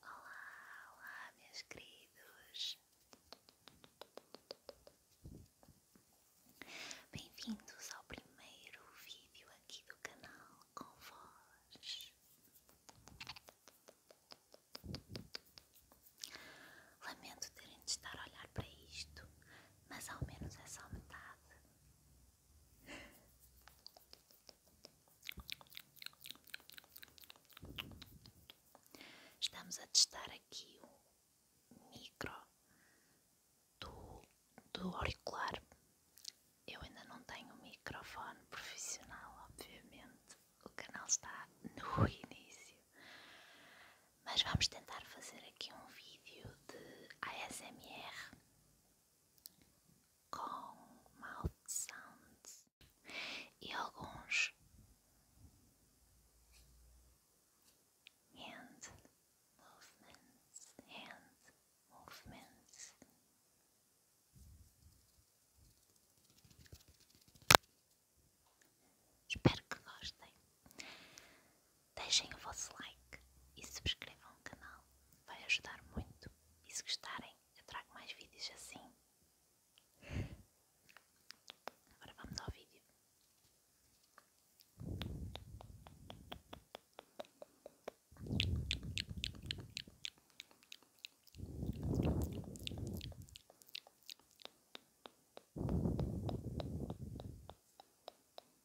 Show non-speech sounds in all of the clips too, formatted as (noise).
Olá, olá, meus queridos. Bem-vindos ao primeiro vídeo aqui do canal com vós. Lamento terem de estar a olhar para isto, mas ao menos é só metade. Estamos a testar aqui o micro do, do auricular. Eu ainda não tenho microfone profissional, obviamente. O canal está no (laughs) início. Mas vamos tentar fazer aqui um vídeo de ASMR com mouth sounds e alguns hand movements, hand movements. Espero que gostem. Deixem o vosso like e se inscrevam no canal, vai ajudar muito. E se gostarem, eu trago mais vídeos assim. Agora vamos ao vídeo.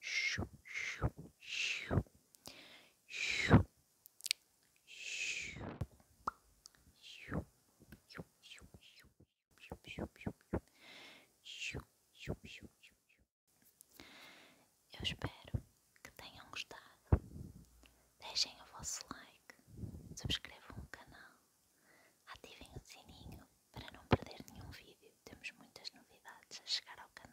Shoo, shoo, shoo. Shoo. Shoo. Shoo. Shoo. Shoo. Shoo. Shoo. Shoo. Shoo. Shoo. Eu espero que tenham gostado deixem o vosso like, subscrevam o canal, ativem o sininho para não perder nenhum vídeo. Temos muitas novidades a chegar ao canal.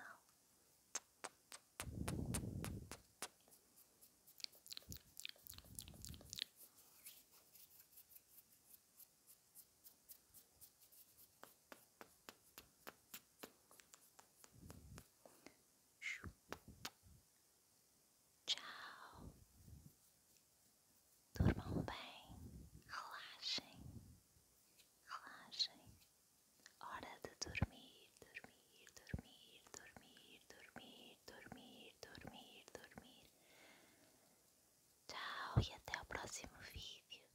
Tchau. Durmam bem. Relaxem. Relaxem. Hora de dormir, dormir, dormir, dormir, dormir, dormir, dormir, dormir. Tchau e até o próximo vídeo.